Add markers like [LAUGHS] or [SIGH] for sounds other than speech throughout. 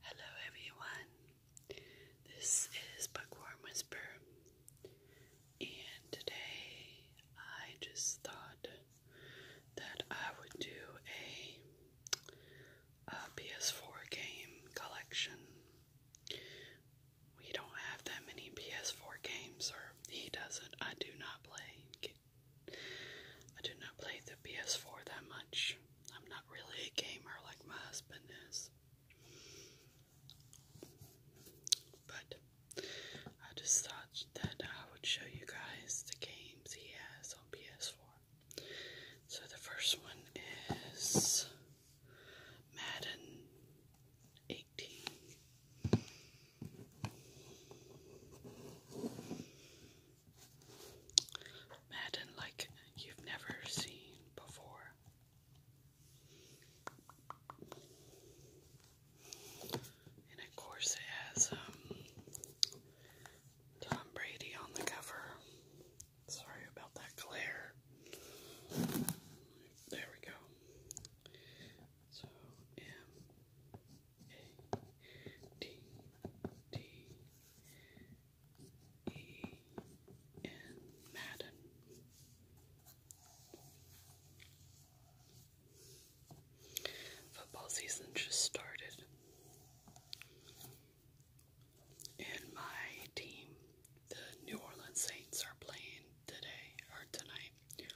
Hello everyone, this is Bookworm Whisper, and today I just thought that I would do a PS4 game collection. We don't have that many PS4 games, or he doesn't. I do not play. I do not play the PS4 that much. I'm not really a gamer like my husband is. But I just thought that I would show you guys the games he has on PS4. So the first one is Madden 18. Madden like you've never seen before. And of course, it has um, Tom Brady on the cover. Sorry about that glare. There we go. So, um, D D E N Madden. Football season just started, and my team, the New Orleans Saints, are playing today or tonight.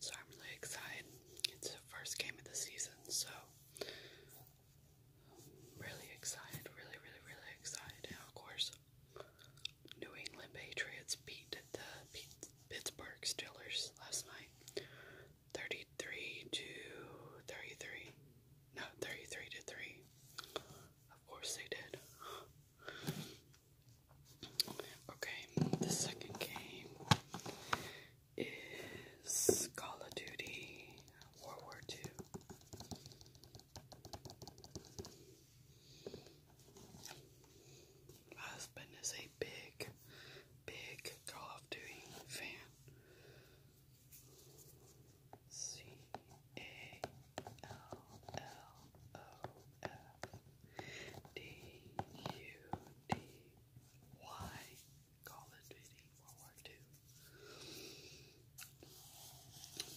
So I'm really excited. It's the first game of the season, so i really excited, really, really, really excited. Now, of course, New England Patriots beat the Pittsburgh Steelers last night 33 to 33. No, 33 to 3. Of course, they did. Okay, the second game is Call of Duty World War Two? husband is a big, big Call of Duty fan. C A L L O F D U D why Call of Duty World War II.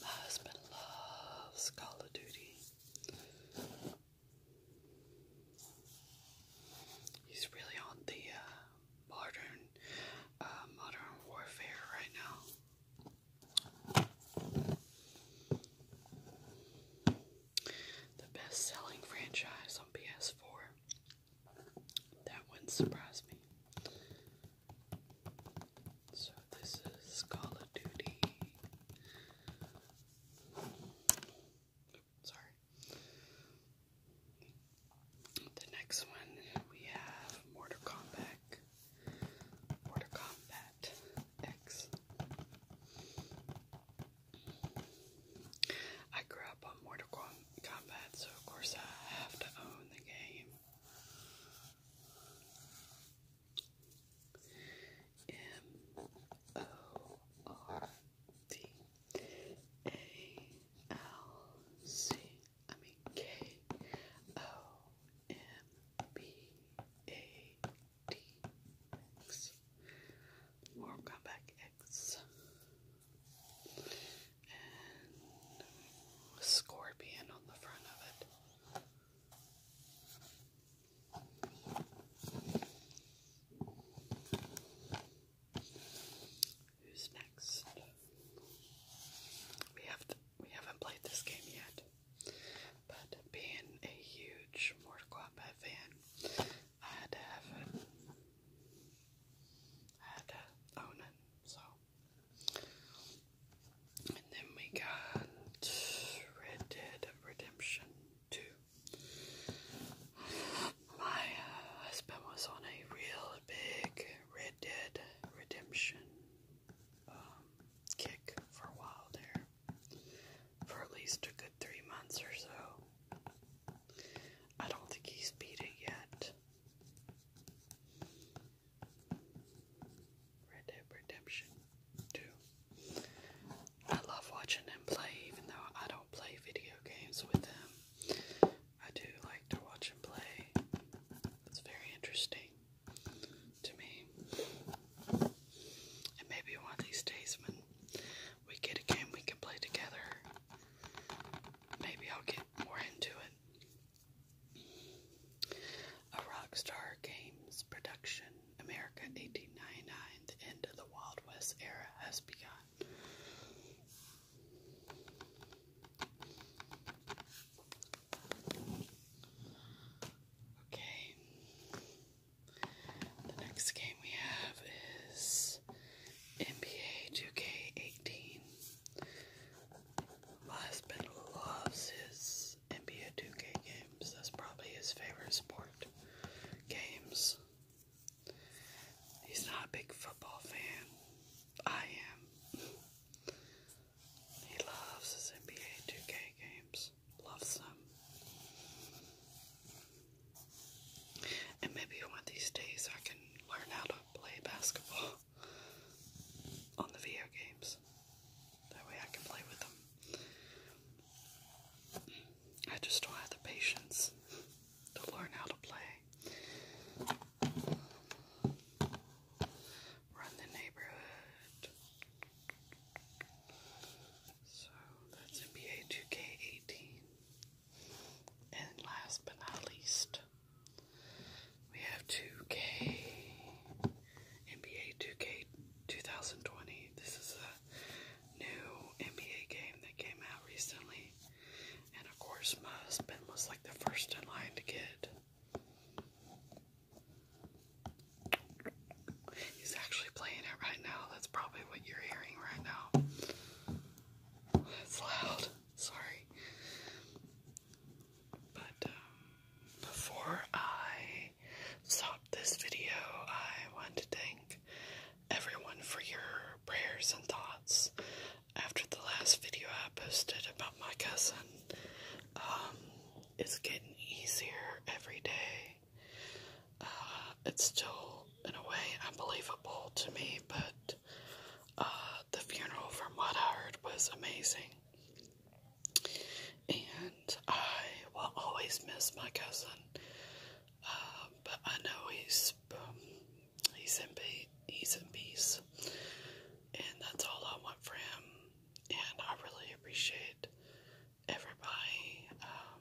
My husband loves Call of Duty. He's really on the uh, modern, uh, modern warfare right now the best selling franchise on PS4. That wouldn't surprise me. So, this is Call of Duty. sorry. The next one we have Mortal Kombat. Mortal Kombat X. I grew up on Mortal Kombat, so of course I have to own the game. M O R D A L C I mean K O M B A more comeback X. And scorpion on the front of it. Who's next? We have we haven't played this game yet. But being a huge Mortal Kombat fan, I had to have it. I had to own it, so. And then we got Red Dead Redemption 2. My uh, husband was on a real big Red Dead Redemption um, kick for a while there for at least a good three months or so. I don't think he's beating yet. Red Dead Redemption 2. I love watching him play, even though I don't play video games with him. I do like to watch him play. It's very interesting to me. And maybe one of these days when we get a game we can play together, maybe I'll get more into it. A Rockstar Games production, America 1899, the end of the Wild West era has begun. Okay. The next game we have is NBA 2K18. My husband loves his NBA 2K games. That's probably his favorite sport. Games. He's not a big football fan. I am. [LAUGHS] He loves his NBA 2K games loves them. And maybe one of these days I can learn how to play basketball [LAUGHS] on the video games. That way I can play with them. I just don't have the patience to learn how to play. Run the neighborhood. So that's NBA 2 18 And last but not least, we have 2 NBA 2 2020. This is a new NBA game that came out recently. And of course, my husband was like the first in line to get He's actually playing it right now. That's probably what you're hearing right now. It's loud. Sorry. But um, before I stop this video, I want to thank everyone for your prayers and thoughts. After the last video I posted about my cousin, um, it's getting easier every day. Uh, it's still, in a way, unbelievable to me, but uh, the funeral, from what I heard, was amazing. And I will always miss my cousin, uh, but I know he's um, he's in peace. He's in peace, and that's all I want for him and I really appreciate everybody um,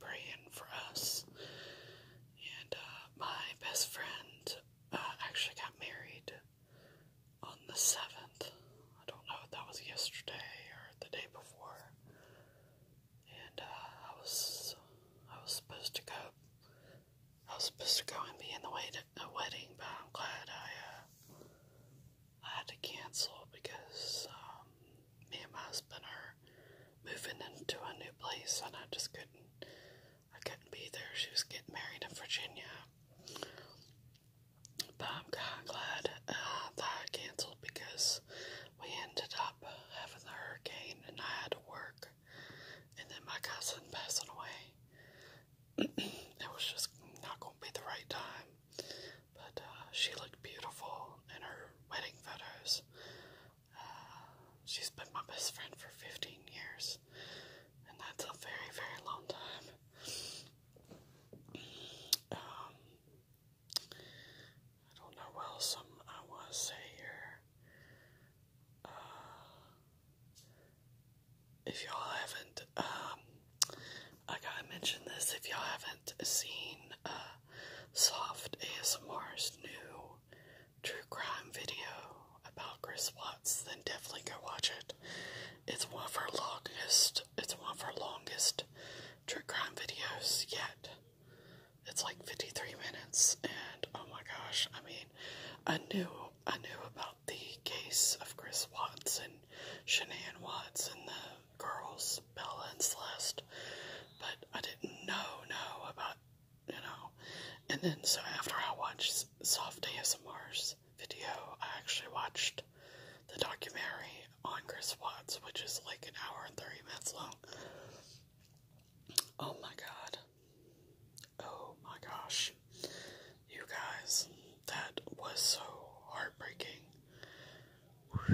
praying for us. And uh, my best friend uh, actually got married on the 7th. I don't know if that was yesterday or the day before. And uh, I was I was supposed to go I was supposed to go and be in the wedding a wedding, but I'm glad I uh, I had to cancel because um, me and my husband are moving into a new place, and I just couldn't I couldn't be there. She was getting married in Virginia, but I'm kind of glad uh, that I canceled because we ended up having the hurricane, and I had to work, and then my cousin passing away it was just not going to be the right time. But uh, she looked beautiful in her wedding photos. Uh, she's been my best friend for 15 years, and that's a very, very long time. Um, I don't know what else i want to say here. Uh, if y'all haven't, um, I gotta mention this, if y'all haven't seen, uh, Soft AS Mars' new true crime video about Chris Watts, then definitely go watch it. It's one of her longest, it's one of her longest true crime videos yet. It's like 53 minutes, and oh my gosh, I mean, a new. I knew about the case of Chris Watts and Shanann Watts and the girls, balance list, but I didn't know, know about, you know. And then, so after I watched Soft ASMR's video, I actually watched the documentary on Chris Watts, which is like an hour and 30 minutes long. Oh my god. Oh my gosh. You guys, that was so heartbreaking.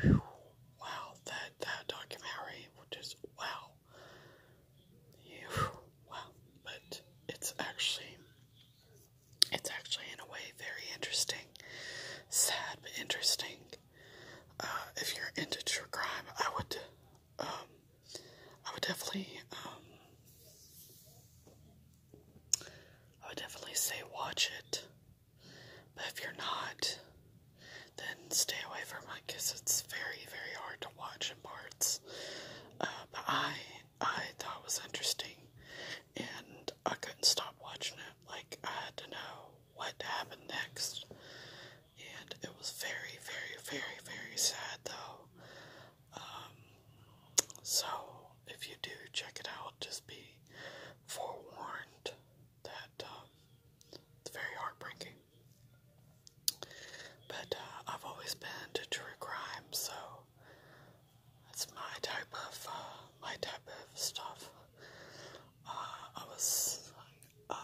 Wow, that that documentary just wow. wow, but it's actually it's actually in a way very interesting. Sad but interesting. Uh, if you're into true crime, I would um, I would definitely, um, I would definitely say watch it. But if you're not, then stay away from it because it's very, very hard to watch in parts. Uh, I, I thought it was interesting, and I couldn't stop watching it. Like I had to know what happened next, and it was very, very, very, very sad though. Um, so, if you do check it out, just be forewarned that um, it's very heartbreaking. But uh, I've always been into true crime, so that's my type of uh, my type of stuff. Uh, I was uh,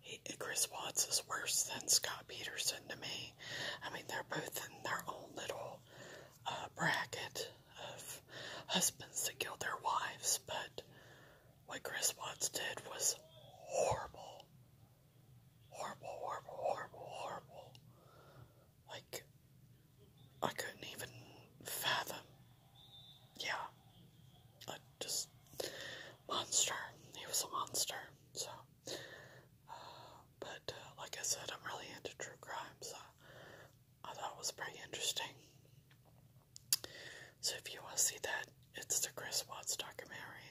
he, Chris Watts is worse than Scott Peterson to me. I mean, they're both in their own little uh, bracket of husbands that killed their wives, but what Chris Watts did was horrible. Horrible, horrible, horrible, horrible. Like, I couldn't even fathom. Yeah just monster. He was a monster. So, uh, but uh, like I said, I'm really into true crime, so I thought it was pretty interesting. So if you want to see that, it's the Chris Watts documentary.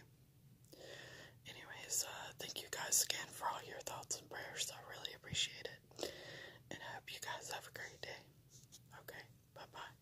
Anyways, uh, thank you guys again for all your thoughts and prayers. I really appreciate it. And I hope you guys have a great day. Okay, bye bye.